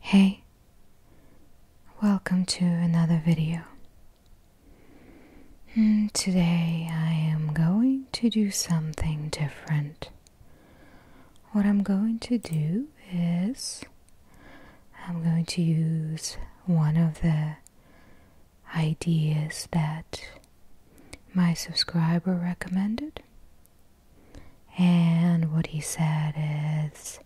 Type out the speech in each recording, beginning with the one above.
Hey, welcome to another video. Hmm, today I am going to do something different. What I'm going to do is I'm going to use one of the ideas that my subscriber recommended and what he said is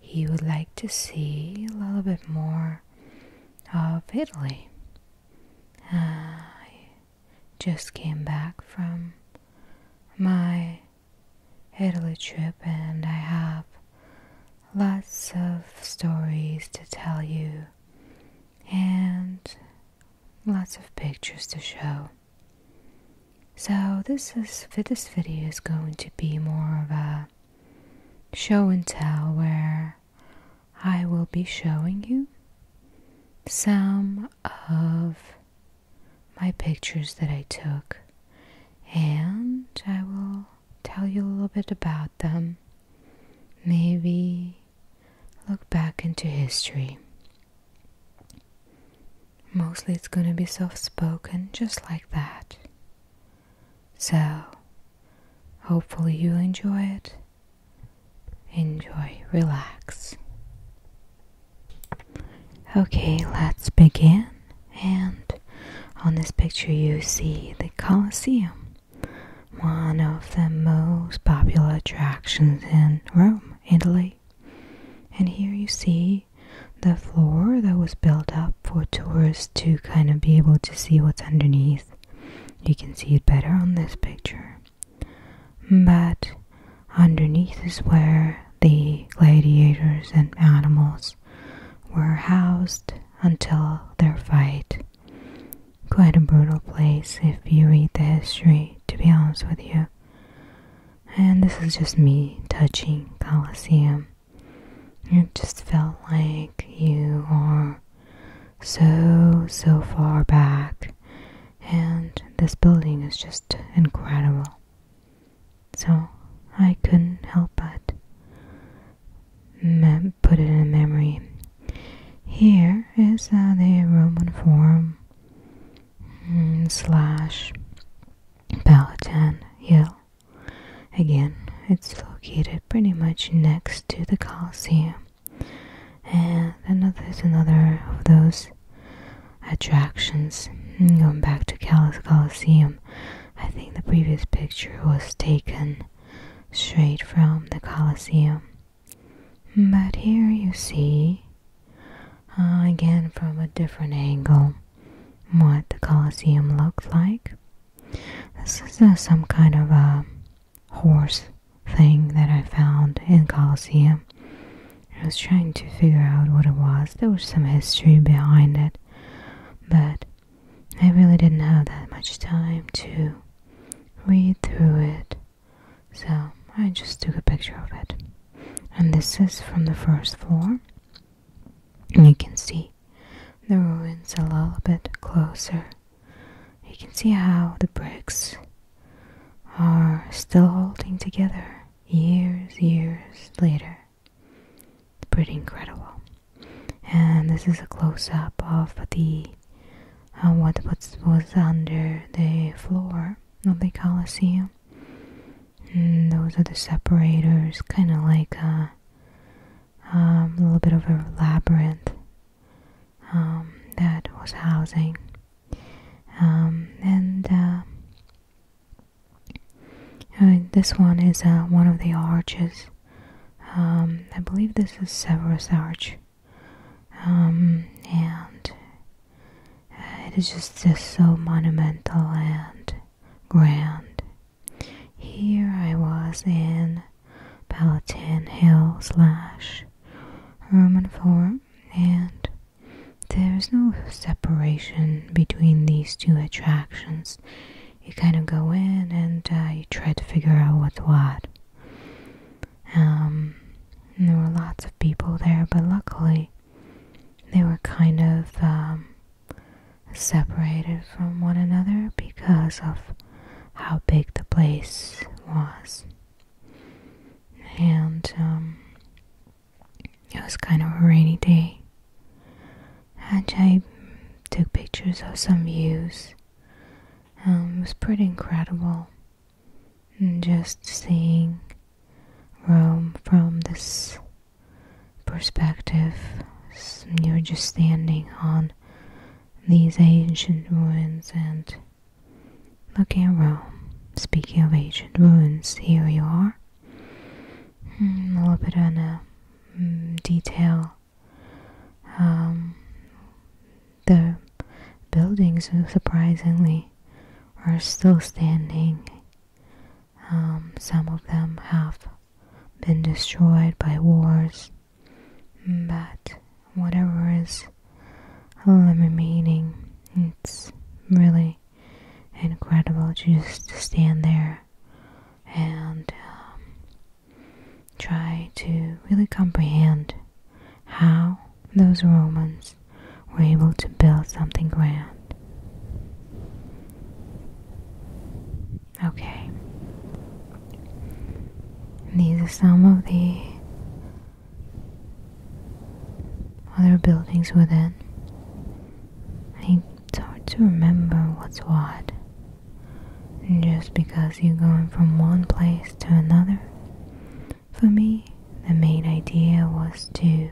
he would like to see a little bit more of Italy. I just came back from my Italy trip and I have lots of stories to tell you and lots of pictures to show. So this this video is going to be more of a show and tell where I will be showing you some of my pictures that I took and I will tell you a little bit about them. Maybe look back into history Mostly it's gonna be soft spoken, just like that. So, hopefully, you'll enjoy it. Enjoy, relax. Okay, let's begin. And on this picture, you see the Colosseum, one of the most popular attractions in Rome, Italy. And here you see the floor that was built up for tourists to kind of be able to see what's underneath. You can see it better on this picture. But underneath is where the gladiators and animals were housed until their fight. Quite a brutal place if you read the history, to be honest with you. And this is just me touching Colosseum. It just felt like you are so, so far back, and this building is just incredible. So I couldn't help but put it in memory. Here is uh, the Roman Forum Hmm, slash Palatine Hill. Again, it's located pretty much next to the Coliseum. And another is another of those attractions. Hmm, going back to Cal's Coliseum, I think the previous picture was taken straight from the Coliseum. But here you see, uh, again from a different angle, what the Colosseum looked like. This is uh, some kind of a horse thing that I found in Colosseum. I was trying to figure out what it was. There was some history behind it, but I really didn't have that much time to read through it so I just took a picture of it. And this is from the first floor. you can see the ruins a little bit closer. You can see how the bricks are still holding together years, years later. It's pretty incredible. And this is a close up of the uh, what was, under the floor of the Colosseum. Mm, those are the separators, kind of like uh, um, a, little bit of a labyrinth um, that was housing. Um, and uh, this one is one of the arches. I believe this is Severus Arch. Um, and uh, it is just, so monumental and grand. Here I was in Palatine Hill slash Roman Forum, and there is no separation between these two attractions. You kind of go in and uh, you try to figure out what's what. Um, there were lots of people there, but luckily they were kind of um, separated from one another because of how big the place was. And um, it was kind of a rainy day. And I took pictures of some views. Um, it was pretty incredible just seeing Rome from this perspective, you're just standing on these ancient ruins and looking at Rome. Speaking of ancient ruins, here you are. Hmm, a little bit of a mm, detail um, the buildings, surprisingly, are still standing. Um, some of them have been destroyed by wars, but whatever is remaining, it's really incredible to just stand there and um, try to really comprehend how those Romans were able to build something grand. Okay. These are some of the other buildings within. I, it's hard to remember what's what just because you're going from one place to another. For me, the main idea was to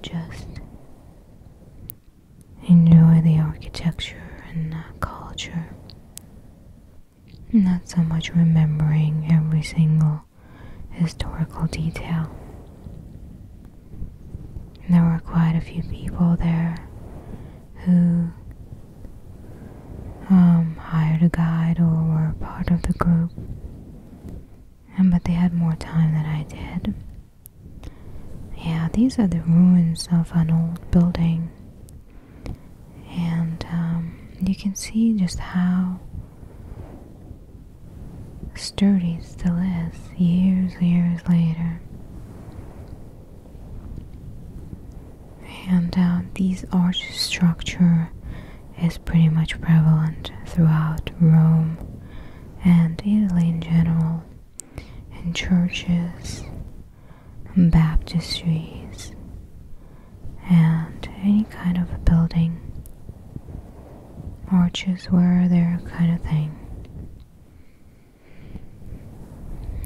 just enjoy the architecture and the culture. Not so much remembering every single historical detail. There were quite a few people there who um, hired a guide or were part of the group. but they had more time than I did. Yeah, these are the ruins of an old building, and um, you can see just how sturdy still is years, years later. And uh, this arch structure is pretty much prevalent throughout Rome and Italy in general, in churches, baptistries, and any kind of a building. Arches were their kind of thing.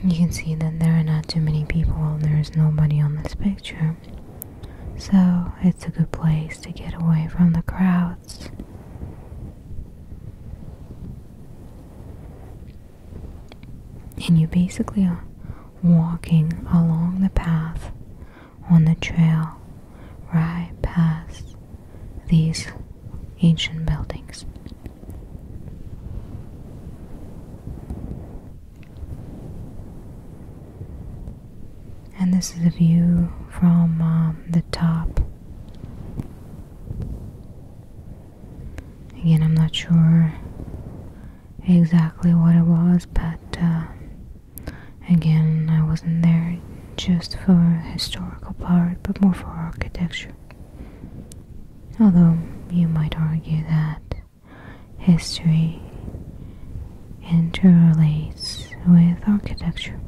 You can see that there are not too many people, and there is nobody on this picture. So it's a good place to get away from the crowds. And you basically are walking along the path on the trail right past these ancient buildings. And this is a view from um, the top. Again, I'm not sure exactly what it was, but uh, again, I wasn't there just for historical part, but more for architecture. Although you might argue that history interrelates with architecture.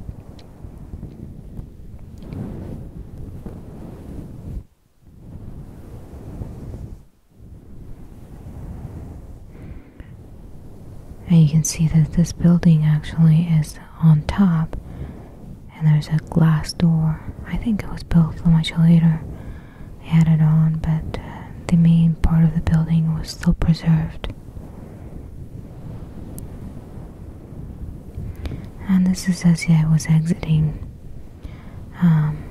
And you can see that this building actually is on top and there's a glass door. I think it was built much later. They had it on, but uh, the main part of the building was still preserved. And this is as was exiting. Um,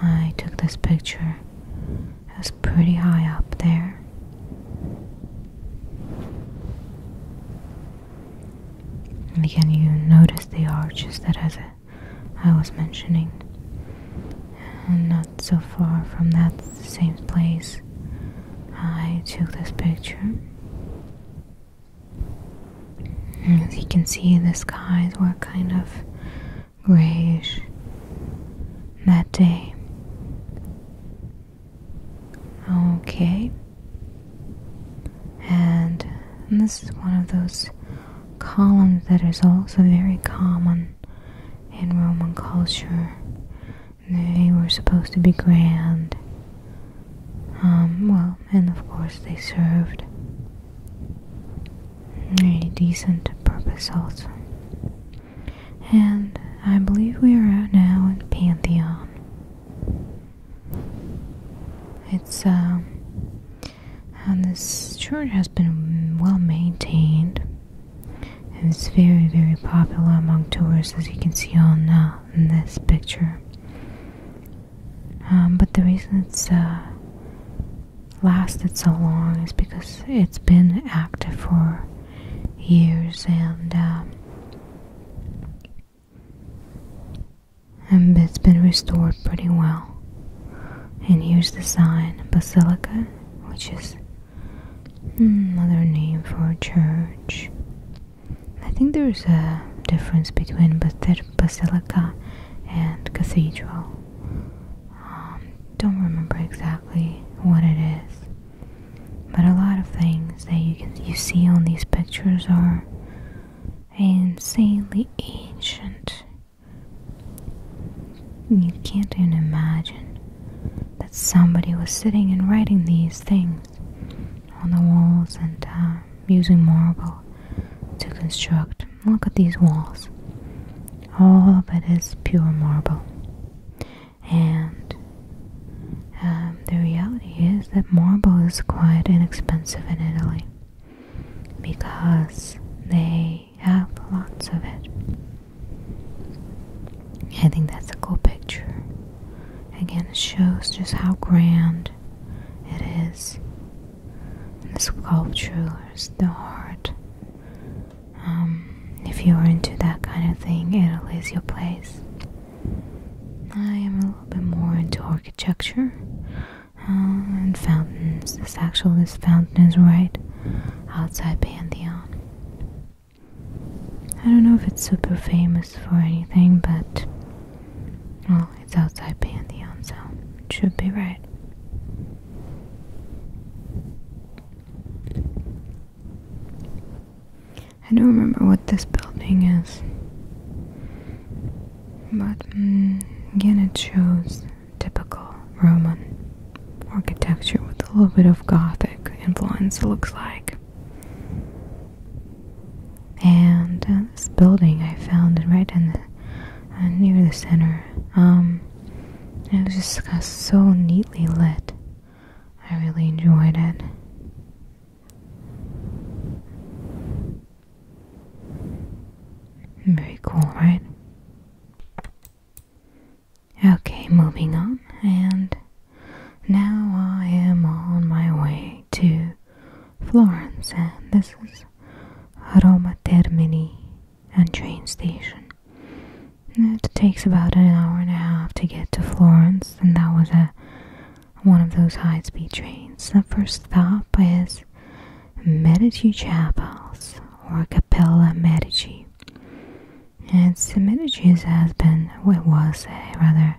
I took this picture. It was pretty high up there. And again, you notice the arches that as I was mentioning, and not so far from that same place, I took this picture. as you can see, the skies were kind of grayish that day. Okay. And, this is one of those columns that is also very common in Roman culture. They were supposed to be grand. Um, well, and of course they served a decent purpose also. And I believe we are out now in Pantheon. It's um, and this church has been well maintained, it's very very popular among tourists, as you can see on uh, in this picture. Um, but the reason it's uh, lasted so long is because it's been active for years and. Uh, and it's been restored pretty well. And here's the sign Basilica, which is another name for a church. I think there's a difference between basilica and cathedral. Um, don't remember exactly what it is. But a lot of things that you you see on these pictures are insanely ancient. You can't even imagine that somebody was sitting and writing these things on the walls and uh, using marble to construct. Look at these walls. All of it is pure marble and um, the reality is that marble is quite inexpensive in Italy because they have lots of it. I think that's a cool picture. Again, it shows just how grand it is. the sculptures, the art. Um, if you're into that kind of thing, Italy is your place. I am a little bit more into architecture uh, and fountains. This actually this fountain is right outside Pantheon. I don't know if it's super famous for anything, but well, it's outside Pantheon, so it should be right. I don't remember what this building is, but mm, again, it shows typical Roman architecture with a little bit of Gothic influence, looks like. And uh, this building I found right in uh, near the center. Um, it was just so neatly lit. I really enjoyed it. Very cool, right? Okay, moving on, and now I am on my way to Florence, and this is Roma Termini and train station. It takes about an hour and a half to get to Florence, and that was a one of those high-speed trains. The first stop is Medici Chapels or Capella Medici. And the Medici's husband. Well, it was a, rather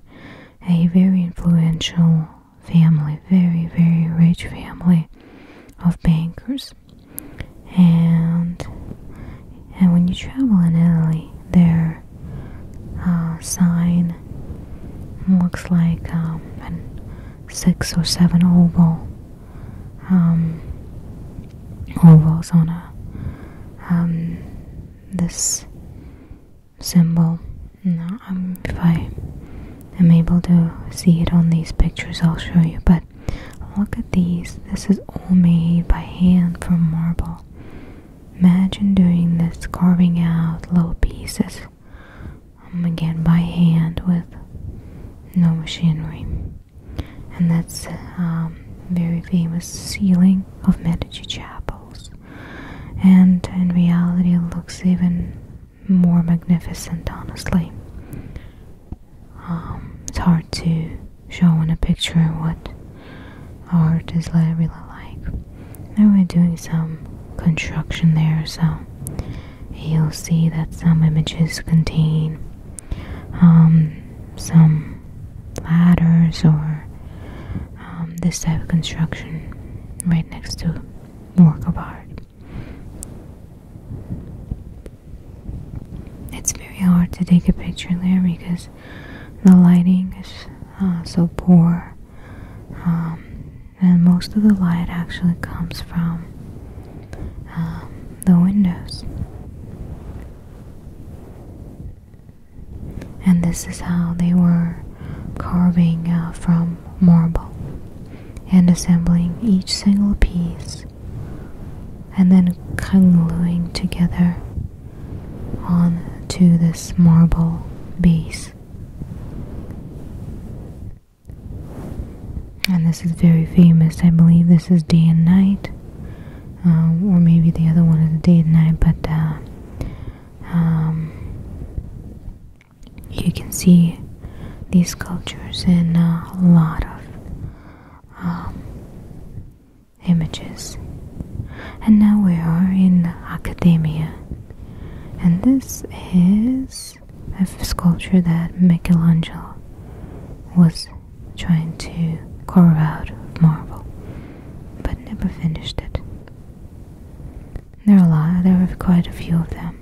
a very influential family, very very rich family of bankers, and and when you travel in Italy, their uh, sign looks like um, a six or seven oval um, ovals on a um, this symbol. Um, if I am able to see it on these pictures, I'll show you. But look at these. This is all made by hand from marble. Imagine doing this, carving out little pieces um, again by hand with no machinery. And that's um, very famous ceiling of Medici chapels. And in reality, it looks even more magnificent, honestly. Um, it's hard to Showing a picture of what art is really like. And we're doing some construction there, so you'll see that some images contain um, some ladders or um, this type of construction right next to work of art. It's very hard to take a picture there because the lighting is uh, so poor. Um, and most of the light actually comes from um, the windows. And this is how they were carving uh, from marble and assembling each single piece and then congluing together onto this marble base. And this is very famous. I believe this is day and night, um, or maybe the other one is day and night, but uh, um, you can see these sculptures in a lot of um, images. And now we are in academia. And this is a sculpture that Michelangelo was trying to carve out of marble, but never finished it. There are a lot, there are quite a few of them.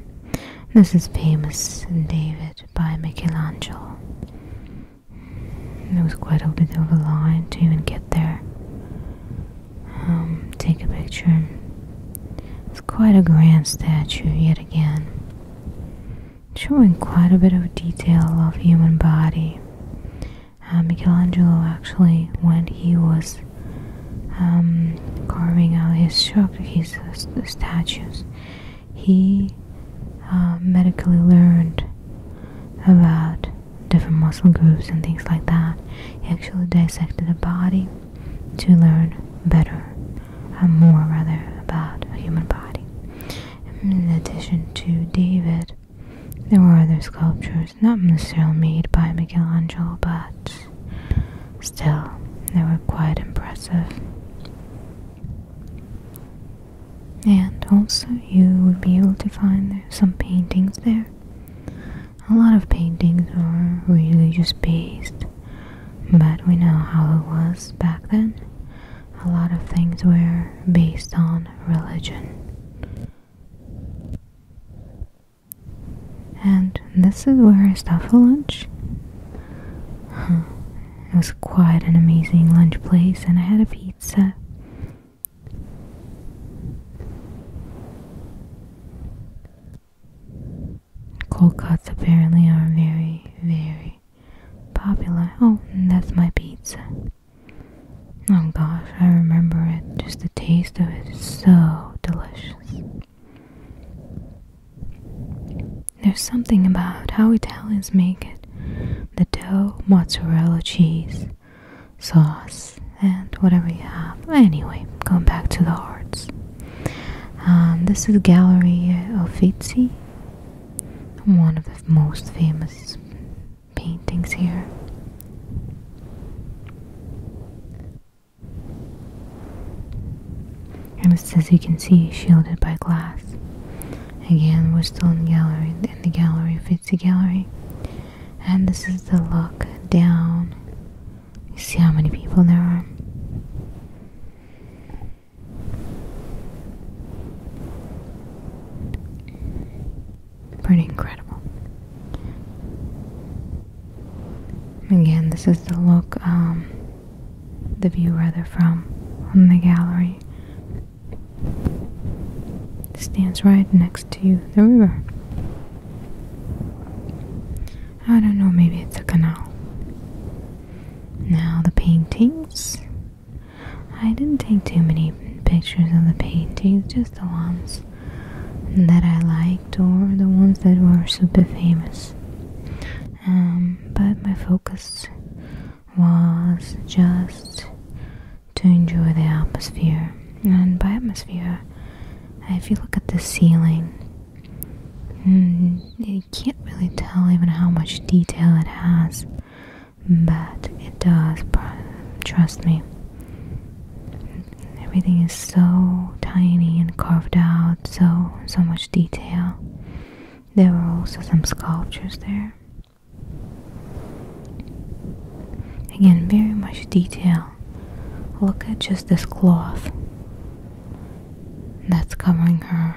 This is famous David by Michelangelo. It was quite a bit of a line to even get there. Um, take a picture. It's quite a grand statue yet again. Showing quite a bit of detail of human body. Uh, Michelangelo actually, when he was um, carving out his, his statues, he um, medically learned about different muscle groups and things like that. He actually dissected a body to learn better and uh, more rather about a human body. In addition to David, there were other sculptures, not necessarily made by Michelangelo, but still, they were quite impressive. And also, you would be able to find some paintings there. A lot of paintings are religious based, but we know how it was back then. A lot of things were based on religion. And this is where I stop for lunch. It was quite an amazing lunch place, and I had a pizza. Cold cuts apparently are very, very popular. Oh, that's my pizza. Oh gosh, I remember it. Just the taste of it is so delicious. There's something about how Italians make it the dough, mozzarella cheese, sauce, and whatever you have. Anyway, going back to the arts. Um, this is the Gallery of Uffizi, one of the most famous paintings here and as you can see shielded by glass. Again, we're still in the gallery, and the gallery fits the gallery. And this is the look down. You see how many people there are. Pretty incredible. Again, this is the look um, the view where they're from on the gallery. stands right next to the river. I don't know, maybe it's a canal. Now, the paintings. I didn't take too many pictures of the paintings, just the ones that I liked or the ones that were super famous. Um, but my focus was just to enjoy the atmosphere. And by atmosphere, if you look at the ceiling, mm, you can't really tell even how much detail it has, but it does, trust me. Everything is so tiny and carved out, so so much detail. There were also some sculptures there. Again, very much detail. Look at just this cloth that's covering her.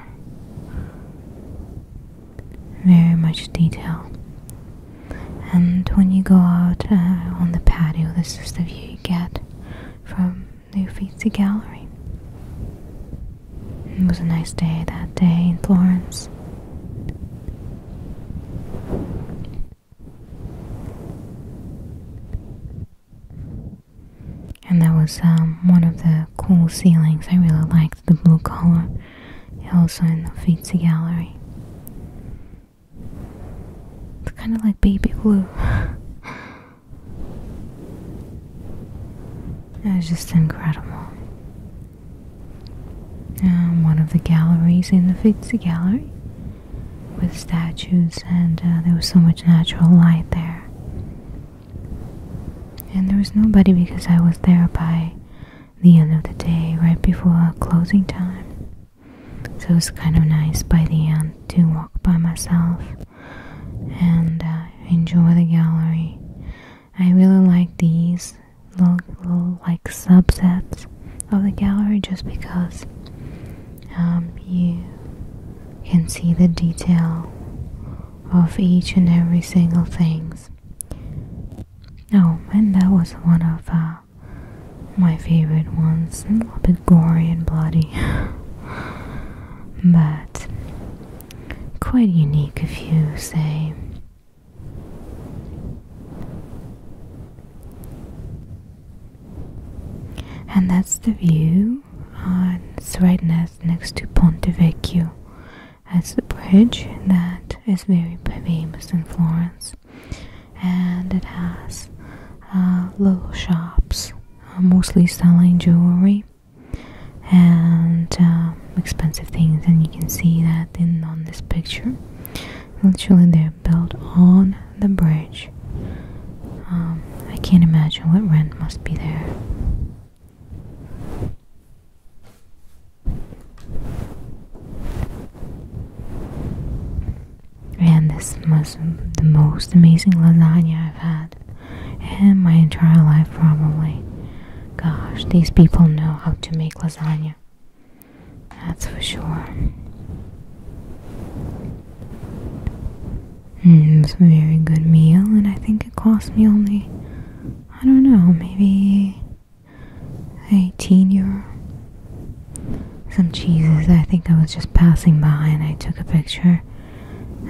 Very much detail. And when you go out uh, on the patio, this is the view you get from the Uffizi Gallery. It was a nice day that day in Florence. And that was um, one of the cool ceilings. I really liked the blue color. Also in the Uffizi Gallery. It's kind of like baby blue. It was just incredible. Um, one of the galleries in the Uffizi Gallery with statues, and uh, there was so much natural light there. And there was nobody because I was there by the end of the day, right before closing time. So it was kind of nice by the end to walk by myself and uh, enjoy the gallery. I really like these little, like subsets of the gallery just because um, you can see the detail of each and every single things. Oh, and that was one of uh, my favorite ones gory and bloody, but quite unique if you say. And that's the view. on it's right next, to Ponte Vecchio. as the bridge that is very famous in Florence. And it has uh, little shops mostly selling jewelry and uh, expensive things and you can see that in on this picture literally they're built on the bridge um, I can't imagine what rent must be there and this was the most amazing lasagna I've had in my entire life, probably. Gosh, these people know how to make lasagna. That's for sure. Mm, it was a very good meal, and I think it cost me only, I don't know, maybe 18 euro some cheeses. I think I was just passing by and I took a picture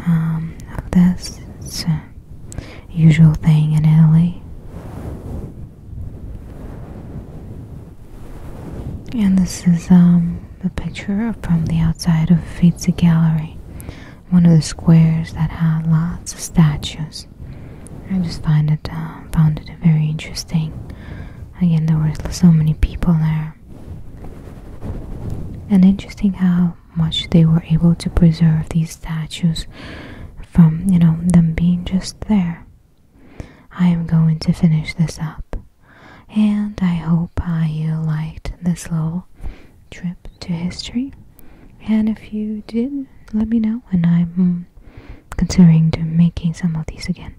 um, of this. usual thing in Italy. And this is a um, picture from the outside of Uffizi Gallery, one of the squares that had lots of statues. I just find it uh, found it very interesting. Again, there were so many people there. And interesting how much they were able to preserve these statues from, you know, them being just there. I am going to finish this up. And I hope you liked this little trip to history. And if you did, let me know. And I'm considering to making some of these again.